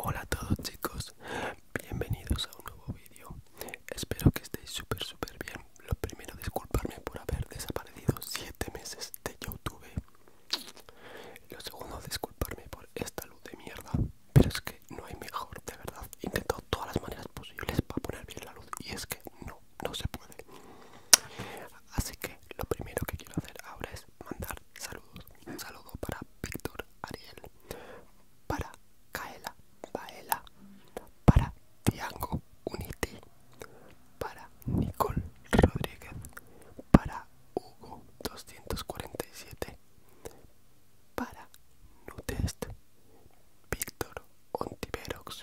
Hola a todos chicos, bienvenidos a un nuevo vídeo. Espero que estéis súper súper bien. Lo primero, disculparme por haber desaparecido 7 meses de YouTube. Lo segundo, disculparme por esta luz de mierda. Pero es que no hay mejor, de verdad intentó todas las maneras posibles para poner bien la luz y es que no, no se puede. Así que lo primero que quiero hacer ahora es mandar saludos. Un saludo para Víctor Ariel, para Kaela Baela, para Tiango Unity, para Nicole Rodríguez, para Hugo 247, para Nutest, Víctor Ontiverox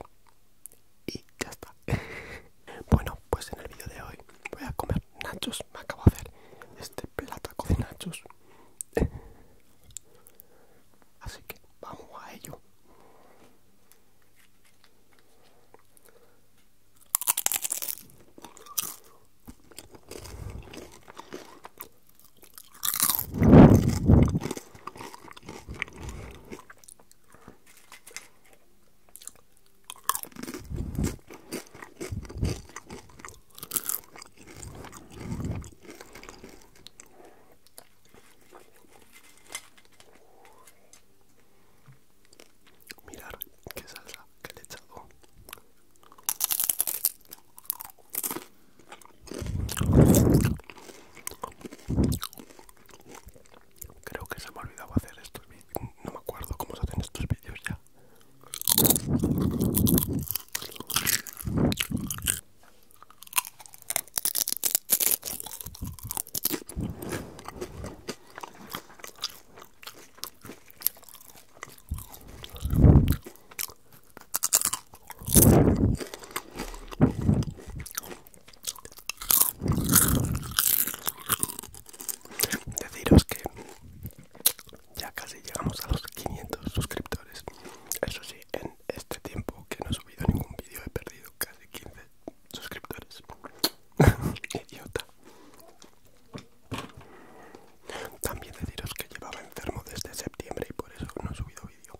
y ya está. bueno, pues en el vídeo de hoy voy a comer nachos. Me acabo de hacer este plato de nachos. Así que vamos a ello. Mirar qué salsa que le he echado. Creo que se me ha olvidado hacer estos No me acuerdo cómo se hacen estos vídeos ya. Deciros que ya casi llegamos a los 500 suscriptores. Eso sí, en este tiempo que no he subido ningún vídeo he perdido casi 15 suscriptores. Idiota. También deciros que llevaba enfermo desde septiembre y por eso no he subido vídeo.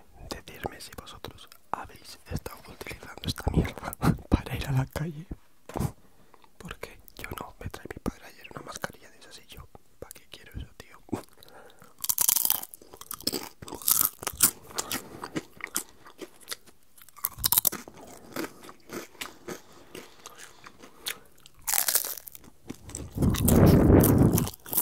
decirme si vosotros habéis estado utilizando esta mierda para ir a la calle. Porque yo no, me trae mi padre ayer una mascarilla de esas y yo, ¿para qué quiero eso, tío?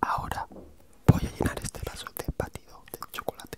Ahora voy a llenar este vaso de batido de chocolate.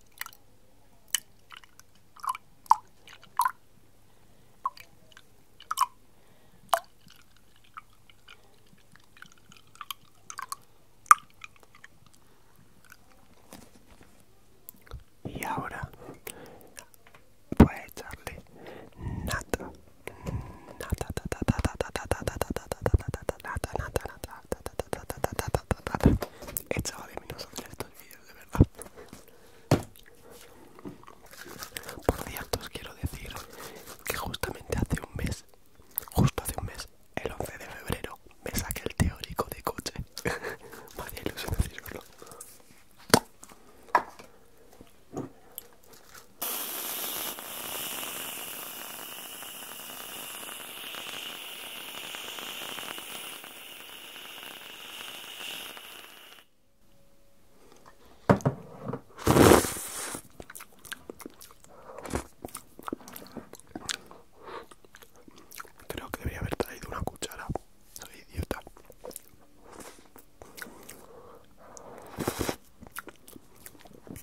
Y ahora voy a echarle nata, nata, nata, nata, nata, nata, nata, nata, nata, nata, nata, nata, He de menos estos vídeos, de verdad. Por cierto, os quiero decir que justamente hace un mes, justo hace un mes, el 11 de febrero, me saqué el teórico de coche. me ilusión decirlo Creo que debería haber traído una cuchara. Soy idiota.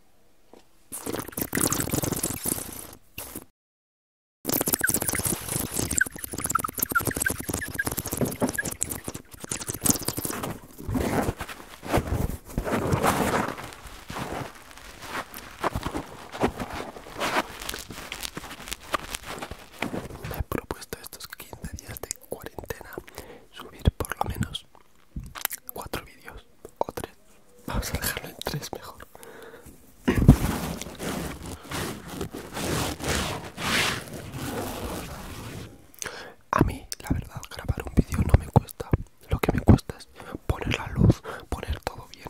Me he propuesto estos 15 días de cuarentena subir por lo menos cuatro vídeos o tres. Vamos a dejarlo en tres mejor. A mí, la verdad, grabar un vídeo no me cuesta. Lo que me cuesta es poner la luz, poner todo bien.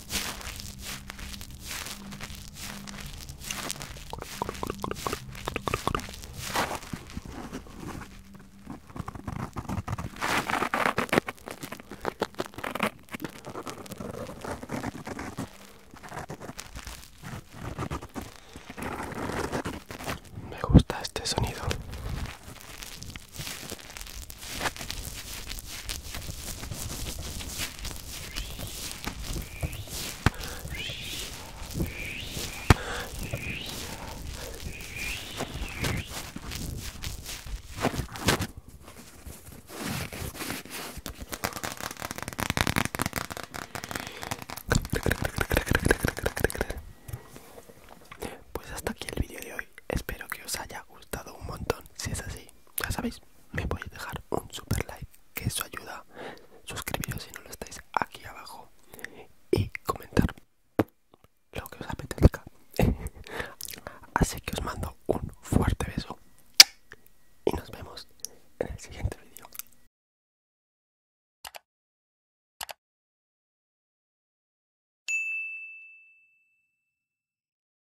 Me gusta este sonido. Pues hasta aquí el vídeo de hoy. Espero que os haya gustado un montón. Si es así, ya sabéis, me voy a dejar un super like que eso ayuda suscribiros si no lo estáis aquí abajo y comentar lo que os apetezca así que os mando un fuerte beso y nos vemos en el siguiente vídeo